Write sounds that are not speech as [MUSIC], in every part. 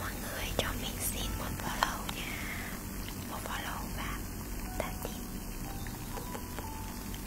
Mọi người cho mình xin một follow nha Một follow và tạm biệt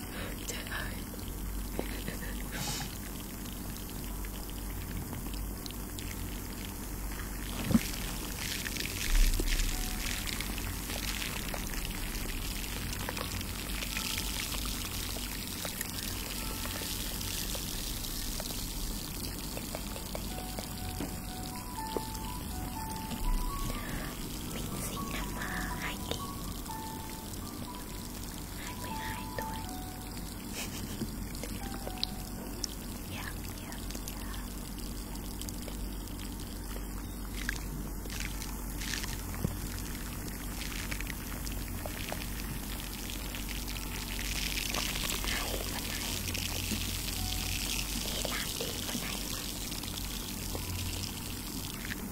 Trời ơi mình sinh năm 2000 22 tuổi yeah, yeah, yeah. Hay con này Đi làm đi con này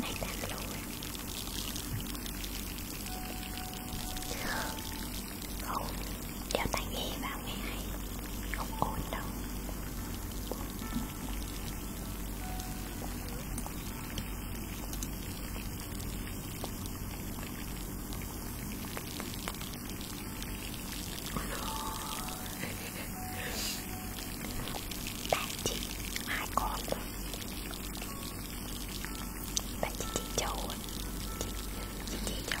này tan lối không đeo tai nghe vào nghe hay không ổn đâu bạn chị hai con bạn chị chị châu chị chị chị châu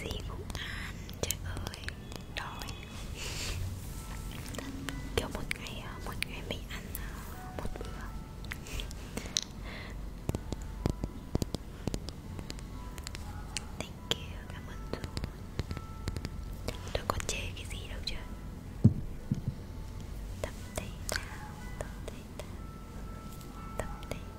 Di Phúc An, trời ơi Đói Kiểu một ngày, à, một ngày mình ăn à, một bữa Thank you, cảm ơn Dũng Tôi có chê cái gì đâu chứ Tập thể thao, tập thể た飛んでいた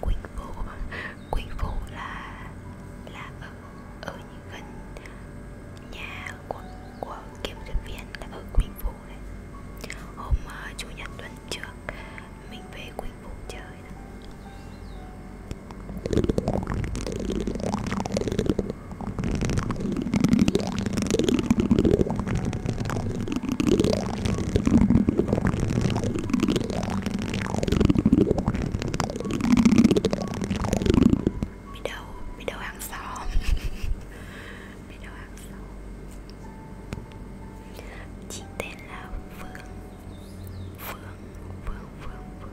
Quỳnh Phụ Quỳnh Phụ là là ở, ở gần nhà của, của kiểm duyệt viên là ở Quỳnh Phụ đấy Hôm uh, Chủ nhật tuần trước mình về Quỳnh Phụ chơi đó. Biết đâu, biết đâu hàng xóm [LAUGHS] Biết đâu hàng xóm Chị tên là Phương Phương, Phương, Phương, Phương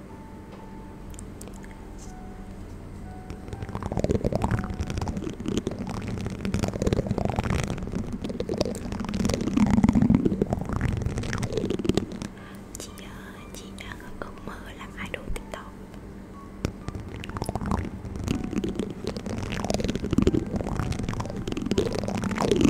chị chị đang ở ước mơ làm idol tiktok mọi người ơi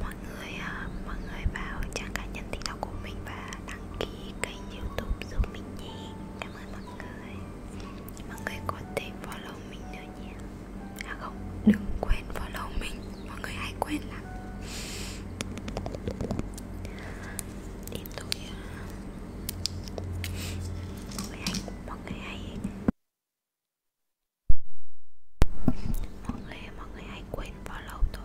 mọi người à, mọi người vào trang cá nhân tiktok của mình và đăng ký kênh youtube giúp mình nhé Cảm ơn mọi người Mọi người có thể follow mình nữa nhé À không, đừng quên follow mình Mọi người hay quên lắm Tiếp tục Mọi người hay, mọi người hay Mọi người, mọi người hay quên follow tôi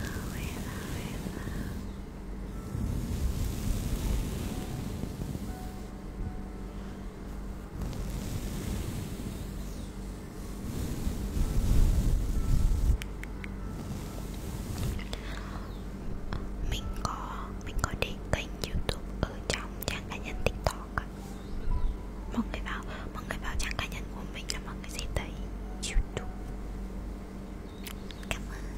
Hello, hello, hello. Mình có mình có để kênh YouTube ở trong trang cá nhân TikTok ạ Mọi người vào Mọi người vào trang cá nhân của mình là mọi người sẽ thấy Youtube Cảm ơn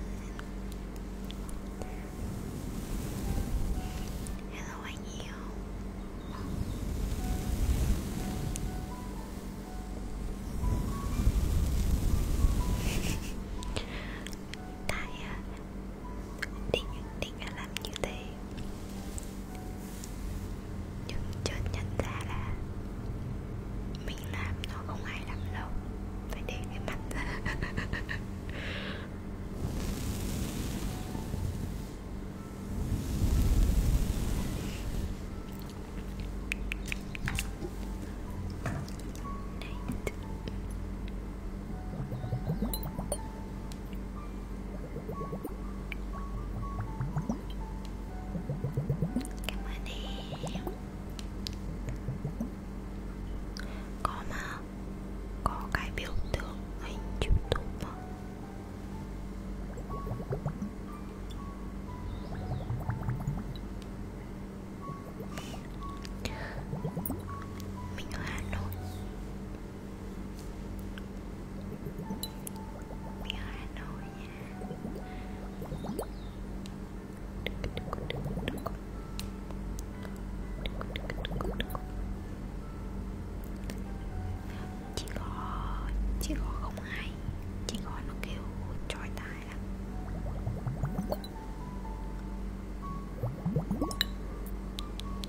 Hello anh yêu tại à, định định đã làm như thế nhưng chợt nhận ra là mình làm nó không ai làm đâu phải để cái mặt ra [LAUGHS] Cảm ơn em Có mà Có cái biểu tượng hình Youtube mà Mình ở Hà Nội mình ở Hà Nội nha Chị gò, chị gò không hay Chị gò nó kêu trói tai lắm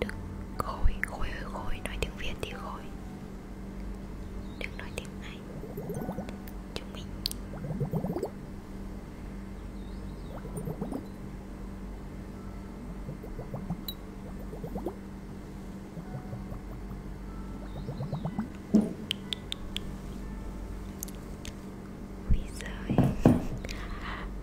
Đức khôi, khôi ơi khôi, nói tiếng Việt thì khôi Đừng nói tiếng Anh Chúng mình Ui giời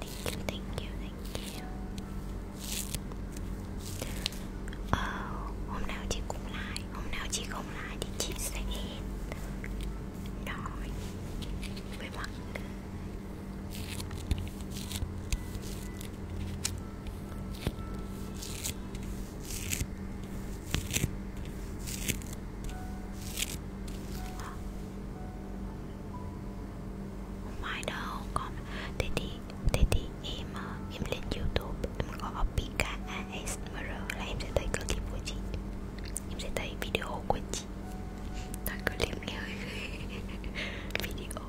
Thank you, thank you, thank you. Ờ, hôm nào chị cũng like, hôm nào chị không like thì chị sẽ nói với mọi Không phải đâu con Thế thì, thế thì em ờ, em lên youtube Em gõ Pika ASMR Là em sẽ thấy clip của chị Em sẽ thấy video của chị Thôi clip nghe hơi [LAUGHS] Video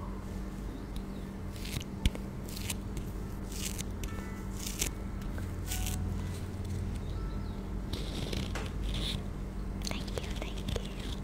Thank you, thank you